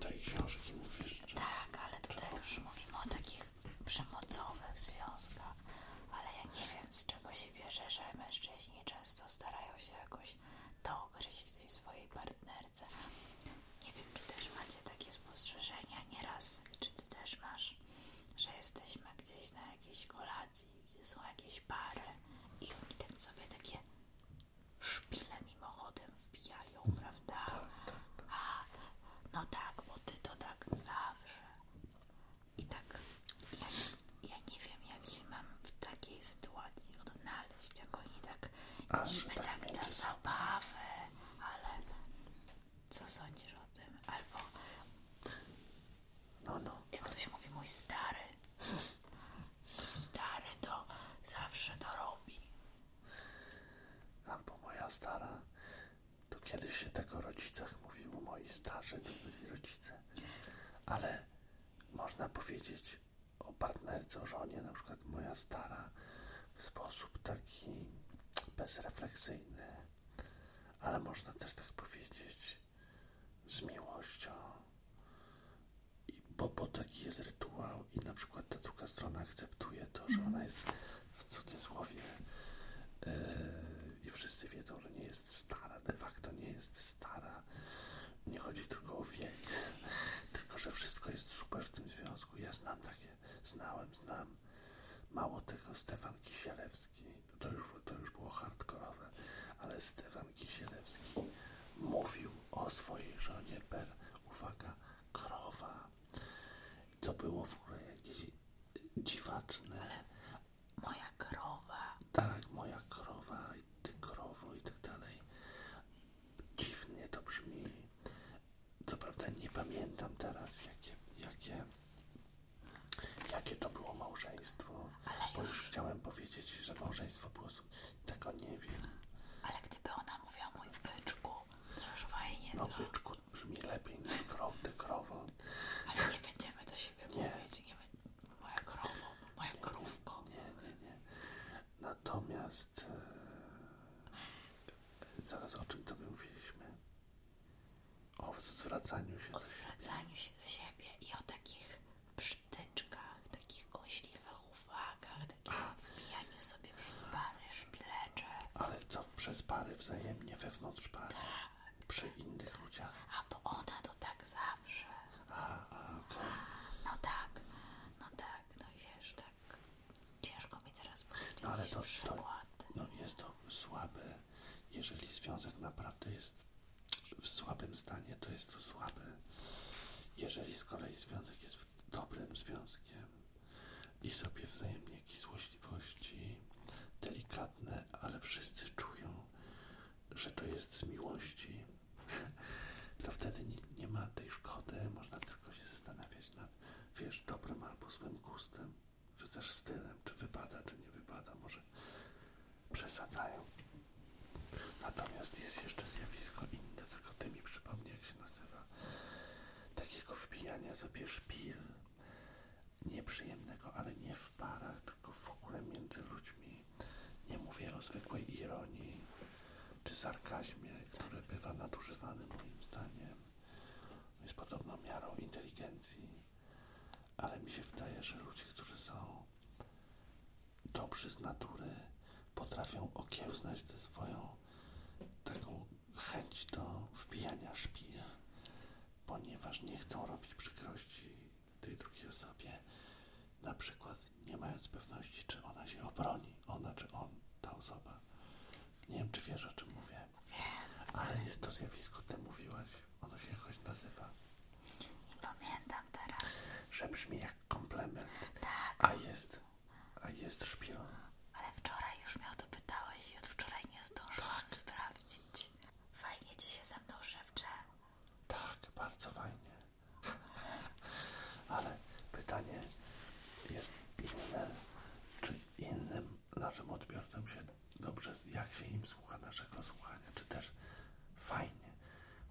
tej książki mówisz? Czy... Tak, ale tutaj już mówimy o takich przemocowych związkach, ale ja nie wiem z czego się bierze, że mężczyźni często starają się jakoś dogryźć tej swojej partnerce. Nie wiem, czy też macie takie spostrzeżenia nieraz, czy też masz, że jesteśmy gdzieś na jakiejś kolacji gdzie są jakieś pary i oni tak sobie takie szpile mimochodem wbijają, mm. prawda? Tak, tak. A, no tak, bo ty to tak zawsze. I tak, ja, nie wiem, jak się mam w takiej sytuacji odnaleźć, jak oni tak Aż niby tak, tak zabawy, ale co sądzisz o tym? Albo no, no. Jak to się mówi, mój stary. Stary to zawsze to robi. Albo moja stara. To kiedyś się tego tak rodzicach mówił moi starze, to byli rodzice. Ale można powiedzieć o partnerce, o żonie, na przykład moja stara, w sposób taki bezrefleksyjny. Ale można też tak powiedzieć z miłością. I, bo, bo taki jest rytuał i na przykład ta druga strona akceptuje to, że ona jest w cudzysłowie e, i wszyscy wiedzą, że nie jest stara, de facto nie jest stara. Nie chodzi tylko o wiek, tylko że wszystko jest super w tym związku. Ja znam takie, znałem, znam. Mało tego, Stefan Kisielewski to już, to już było hardkorowe, ale Stefan Kisielewski mówił o swojej żonie per, uwaga, krowa. To było w ogóle jakieś dziwaczne. moja krowa. Tak, moja krowa i ty krowo i tak dalej. Dziwnie to brzmi. Co prawda nie pamiętam teraz, jakie, jakie Jakie to było małżeństwo? Bo już chciałem powiedzieć, że małżeństwo było. Tego nie wiem. Ale gdyby ona mówiła mój byczku, to już fajnie. No co? byczku brzmi lepiej niż krow, ty krowo. Ale nie będziemy do siebie mówić. Nie, moja krowo, moja nie, krówko. Nie, nie, nie. Natomiast e, zaraz o czym to mówiliśmy? O zwracaniu się. O zwracaniu się do siebie i o takich przytyczkach, takich kąśliwych uwagach, takim wbijaniu sobie przez pary szpilecze, Ale co przez pary wzajemnie wewnątrz pary? Tak. Przy innych ludziach? A bo ona to tak zawsze. A, a okej. No tak, no tak, no i wiesz, tak ciężko mi teraz powiedzieć No ale to, to przykład. no jest to słabe, jeżeli związek naprawdę jest w słabym stanie, to jest to słabe. Jeżeli z kolei związek jest dobrym związkiem i sobie wzajemnie jakieś złośliwości, delikatne, ale wszyscy czują, że to jest z miłości, to wtedy nie, nie ma tej szkody, można tylko się zastanawiać nad, wiesz, dobrym albo złym gustem, czy też stylem, czy wypada, czy nie wypada, może przesadzają. Natomiast jest jeszcze zjawisko inne, tylko ty mi przypomnij, jak się nazywa. Takiego wbijania sobie szpil. Nieprzyjemnego, ale nie w parach, tylko w ogóle między ludźmi. Nie mówię o zwykłej ironii czy sarkazmie, który bywa nadużywany moim zdaniem. Jest podobną miarą inteligencji, ale mi się wydaje, że ludzie, którzy są dobrzy z natury potrafią okiełznać tę swoją taką chęć do wpijania szpil, ponieważ nie chcą robić przykrości tej drugiej osobie, na przykład nie mając pewności, czy ona się obroni, ona czy on, ta osoba. Nie wiem, czy wiesz, o czym mówię. Ale jest to zjawisko, ty mówiłaś ono się jakoś nazywa. Nie pamiętam teraz. Że brzmi jak komplement. Tak. A jest, a jest szpilą. Ale wczoraj już mnie o to pytałeś i od wczoraj nie zdążyłam tak. sprawdzić. Fajnie ci się ze mną szepcze. Tak, bardzo fajnie. Ale pytanie jest inne. Czy innym naszym odbiorcom się dobrze, jak się im słucha naszego słuchania? Czy też fajnie?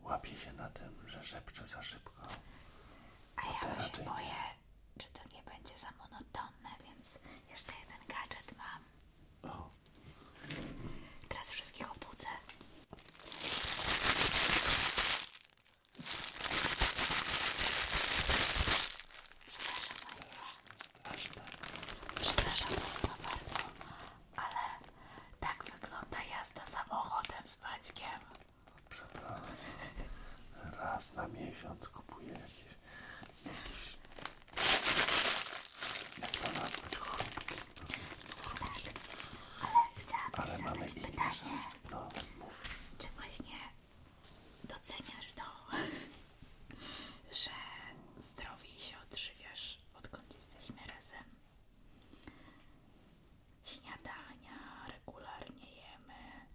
łapie się na tym, że szepcze za szybko. A ja się raczej... boję, czy to nie będzie za monotonne, więc jeszcze jeden gadżet mam. Teraz wszystkich obudzę. Przepraszam Państwa. Straszne. Przepraszam Państwa bardzo ale tak wygląda jazda samochodem z Maćkiem. No, przepraszam. Raz na miesiąc kupuję jakieś, jakieś jak to nazwać, Ale chciałam ale mamy zadać pytanie, no, czy właśnie doceniasz to, że zdrowiej się odżywiasz, odkąd jesteśmy razem? śniadania, regularnie jemy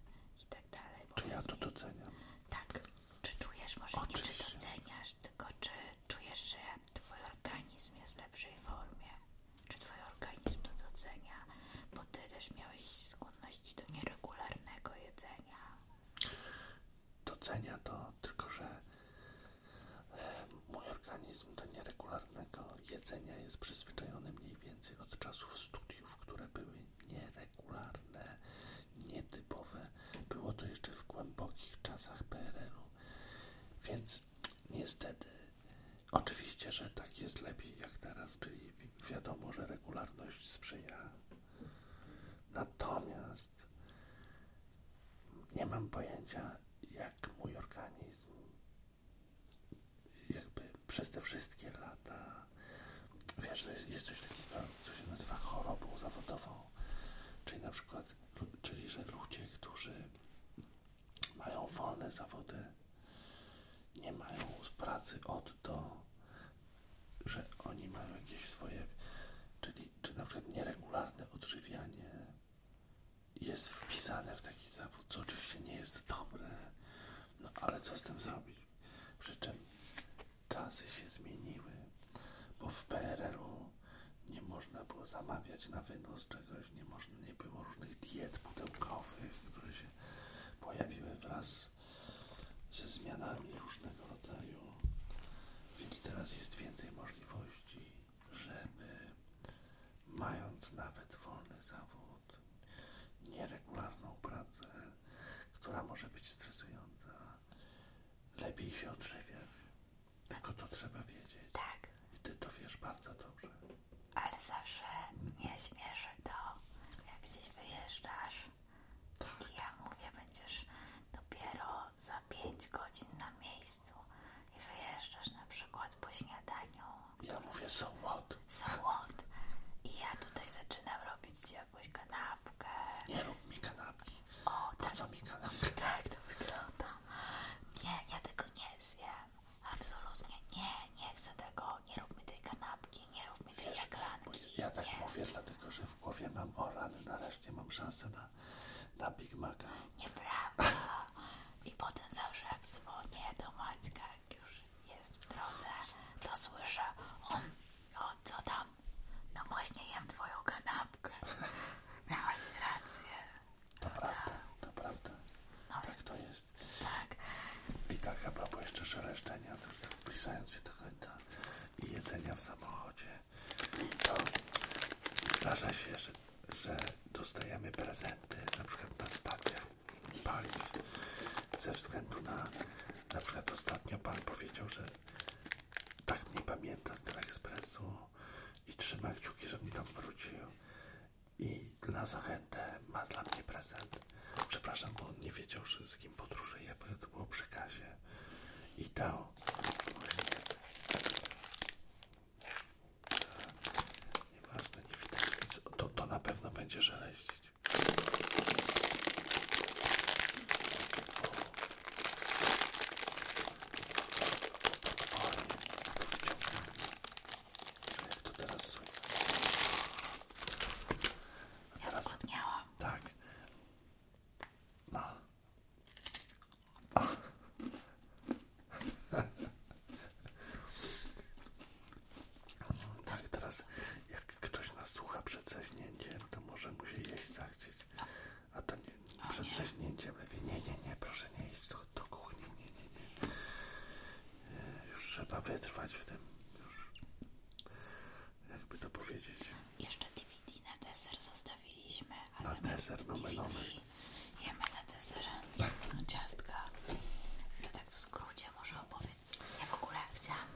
i tak dalej. Czy ja to doceniam? Tak. Czy czujesz, może nie czy doceniasz, tylko czy czujesz, że twój organizm jest w lepszej formie? Czy twój organizm to docenia? Bo ty też miałeś skłonności do nieregularnego jedzenia. Docenia to, tylko że Mój organizm do nieregularnego jedzenia jest przyzwyczajony mniej więcej od czasów studiów, które były nieregularne, nietypowe. Było to jeszcze w głębokich czasach PRL-u. Więc niestety, oczywiście, że tak jest lepiej jak teraz, czyli wiadomo, że regularność sprzyja. Natomiast nie mam pojęcia, jak mój organizm jakby przez te wszystkie lata wiesz, że jest, coś takiego, co się nazywa chorobą zawodową, czyli na przykład, czyli że ludzie, którzy mają wolne zawody, nie mają z pracy od do, że oni mają jakieś swoje, czyli czy na przykład nieregularne odżywianie, jest wpisane w taki zawód, co oczywiście nie jest dobre, no ale co z tym zrobić? Przy czym czasy się zmieniły, bo w PRL-u nie można było zamawiać na wynos czegoś, nie, można, nie było różnych diet pudełkowych, które się pojawiły wraz ze zmianami różnego rodzaju, więc teraz jest więcej możliwości że mając nawet wolny zawód, nieregularną pracę, która może być stresująca, lepiej się odżywiać. Tylko to trzeba wiedzieć. Tak. I ty to wiesz bardzo dobrze. Ale zawsze mnie śmieszy to, jak gdzieś wyjeżdżasz i ja mówię, będziesz dopiero za 5 godzin na miejscu i wyjeżdżasz na przykład po śniadaniu. Ja mówię so what? So what? I ja tutaj zaczynam robić ci jakąś kanapkę. Nie rób mi kanapki. O, tak. Po mi kanapki Tak to wygląda. Nie, ja tego nie zjem. Absolutnie nie, nie chcę tego. Nie rób mi tej kanapki, nie rób mi tej Wiesz, Ja tak mówię, dlatego że w głowie mam o nareszcie mam szansę na na, na Big Maca. Nieprawda. I potem zawsze jak dzwonię do Maćka, jak już jest w drodze, to słyszę, on, o co tam? No właśnie jem twoją kanapkę. Miałaś rację. To tak. prawda, to prawda. No tak to jest. Tak. I tak ja propos jeszcze szeleszczenia, pisając tak się do końca i jedzenia w samochodzie, to zdarza się, że, dostajemy prezenty na przykład na stacjach paliw ze względu na na przykład ostatnio pan powiedział, że tak mnie pamięta z Telekspresu i trzyma kciuki, żebym tam wrócił i na zachętę ma dla mnie prezent. Przepraszam, bo on nie wiedział, że z kim podróżuję, bo to było przy kasie i dał Nieważne, nie widać nic. To, to na pewno będzie żeleścić. Jak to teraz słychać? Ja zgłodniałam. Tak. No. Tak, teraz jak ktoś nas słucha przed zaśnięciem, to może musi się jeść zachcieć. A to nie, przed zaśnięciem lepiej. Nie, nie, nie, proszę nie iść do, do kuchni. Nie, nie, nie. E, już trzeba wytrwać w tym. Już. Jakby to powiedzieć. Jeszcze DVD na deser zostawiliśmy, a Na deser DVD jemy na deser tak. ciastka. To tak w skrócie może opowiedz. Ja w ogóle chciałam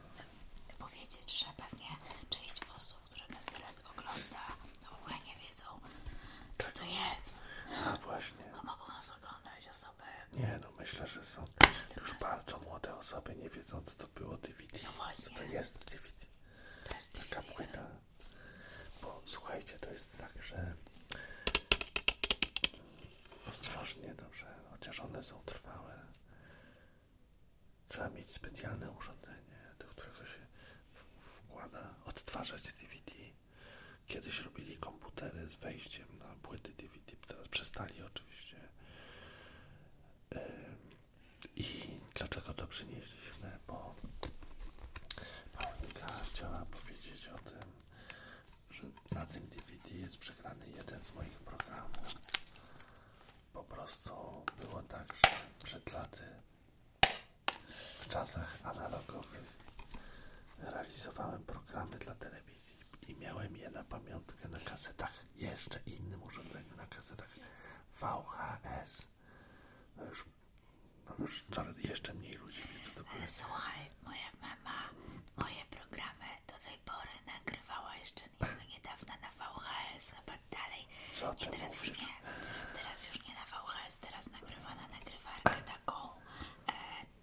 e, powiedzieć, że pewnie część osób, które nas teraz ogląda, to no w ogóle nie wiedzą, co to jest. A no właśnie. Bo mogą nas oglądać osoby. Nie, no myślę, że są już bardzo młode osoby, nie wiedzą, co to było DVD. No właśnie. Co to jest DVD. To jest DVD. Taka no. płyta. Bo słuchajcie, to jest tak, że ostrożnie, dobrze, chociaż one są trwałe. Trzeba mieć specjalne urządzenie, do którego się wkłada odtwarzać DVD. Kiedyś robili komputery z wejściem na płyty DVD, teraz przestali oczywiście. I dlaczego to przynieśli? bo Paulinka chciała powiedzieć o tym, że na tym DVD jest przegrany jeden z moich programów. Po prostu było tak, że przed laty w czasach analogowych realizowałem programy dla telewizji i miałem je na pamiątkę na kasetach, jeszcze innym urządzeniu na kasetach VHS już no coraz jeszcze mniej ludzi wie, co to było. słuchaj, moja mama moje programy do tej pory nagrywała jeszcze niedawno na VHS, chyba dalej. Co teraz już nie. Teraz już nie na VHS, teraz nagrywa na nagrywarkę taką e,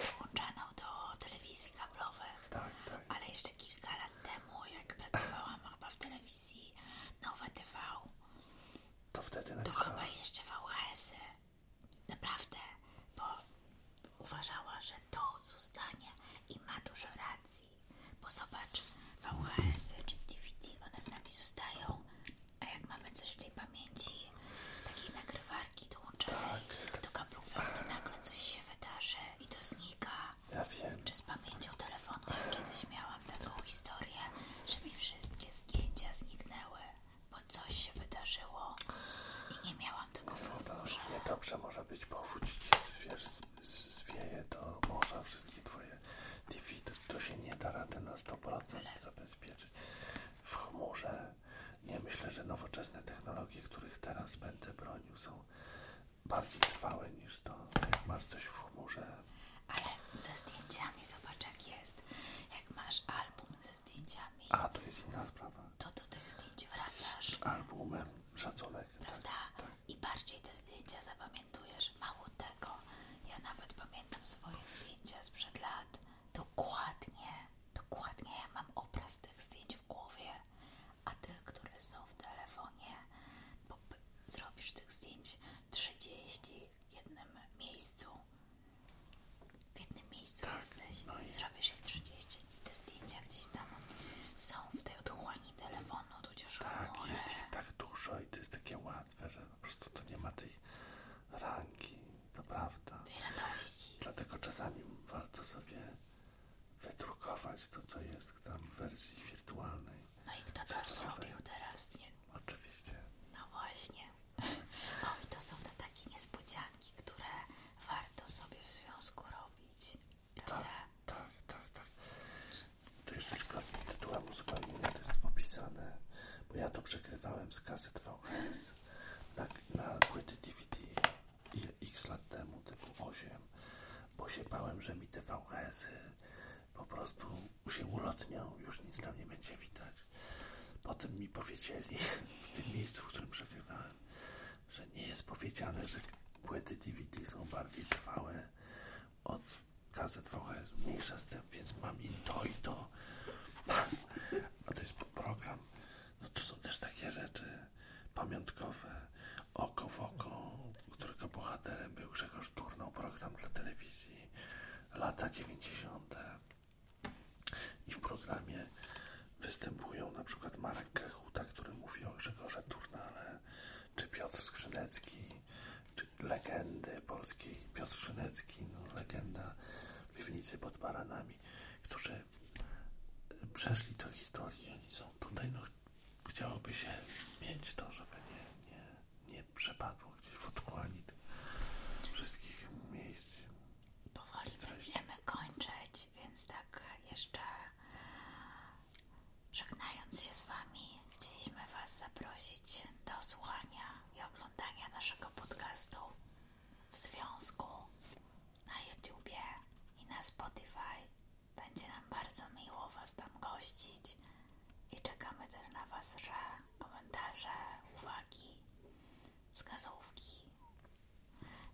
dołączaną do telewizji kablowych. Tak, tak. Ale jeszcze kilka lat temu, jak pracowałam chyba w telewizji Nowe TV, to chyba jeszcze VHS-y. Naprawdę, bo uważała, że to zostanie i ma dużo racji. Bo zobacz, VHS-y czy DVD, one z nami zostają, a jak mamy coś w tej pamięci, takiej nagrywarki dołączonej tak. do kablówek, to nagle coś się wydarzy i to znika. Ja wiem. Czy z pamięcią telefonu kiedyś miałam taką historię, że mi wszystkie zdjęcia zniknęły bo coś się wydarzyło i nie miałam tego w humorze. Różnie dobrze może być, bo wrócić zwieje to morza wszystkie twoje defity. To się nie da rady na 100% Ale... zabezpieczyć. W chmurze nie myślę, że nowoczesne technologie, których teraz będę bronił, są bardziej trwałe niż to, jak masz coś w chmurze ale ze zdjęciami zobacz jak jest. Jak masz album ze zdjęciami. A, to jest inna sprawa. To do tych zdjęć wracasz. Z albumem szacunek. Tak, Prawda? Tak. I bardziej te zdjęcia zapamiętujesz. Mało tego, ja nawet pamiętam swoje zdjęcia sprzed lat. Dokładnie, dokładnie ja mam obraz tych zdjęć w głowie, a tych, które są w telefonie, bo zrobisz tych zdjęć 30 w jednym miejscu. W jednym miejscu tak, jesteś, no i... zrobisz ich 30 i te zdjęcia gdzieś tam są w tej odchłani telefonu, tudzież Tak, jest ich tak dużo i to jest takie łatwe, że po prostu to nie ma tej rangi, to prawda. Tej radości. Dlatego czasami warto sobie wydrukować to, co jest tam w wersji wirtualnej. No i kto to zrobił teraz, nie? Oczywiście. No właśnie. O to są te takie niespodzianki, które warto sobie w związku robić, prawda? Tak, tak, tak. tak. To jeszcze tylko tytułem zupełnie to jest opisane, bo ja to przekrywałem z kaset VHS na, na płyty DVD ile x lat temu, typu 8, bo się bałem, że mi te VHS-y po prostu się ulotniał, już nic tam nie będzie widać. Potem mi powiedzieli w tym miejscu, w którym przebyłem, że nie jest powiedziane, że płyty DVD są bardziej trwałe od kazet VHS. Mniejsza z tym, więc mam i to, i to. A to jest program. No to są też takie rzeczy pamiątkowe. Oko w oko, którego bohaterem był Grzegorz Turnał, program dla telewizji. Lata 90. I w programie występują na przykład Marek Krechuta, który mówi o Grzegorze Turnale, czy Piotr Skrzynecki, czy legendy polskiej Piotr Skrzynecki, no, legenda piwnicy pod baranami, którzy przeszli tę historię. Oni są tutaj, no chciałoby się mieć to, żeby nie, nie, nie przepadło gdzieś w otchłani wszystkich miejsc. Powoli będziemy kończyć, więc tak jeszcze żegnając się z Wami, chcieliśmy Was zaprosić do słuchania i oglądania naszego podcastu w związku na YouTubie i na Spotify. Będzie nam bardzo miło Was tam gościć i czekamy też na Was, że komentarze, uwagi uwagi, wskazówki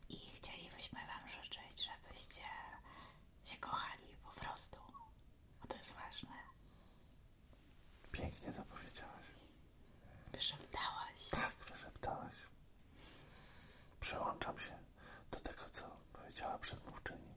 i chcielibyśmy Wam życzyć, żebyście się kochali po prostu, bo to jest ważne. Pięknie to powiedziałaś. Wyszeptałaś. Tak, wyszeptałaś. Przełączam się do tego, co powiedziała przedmówczyni.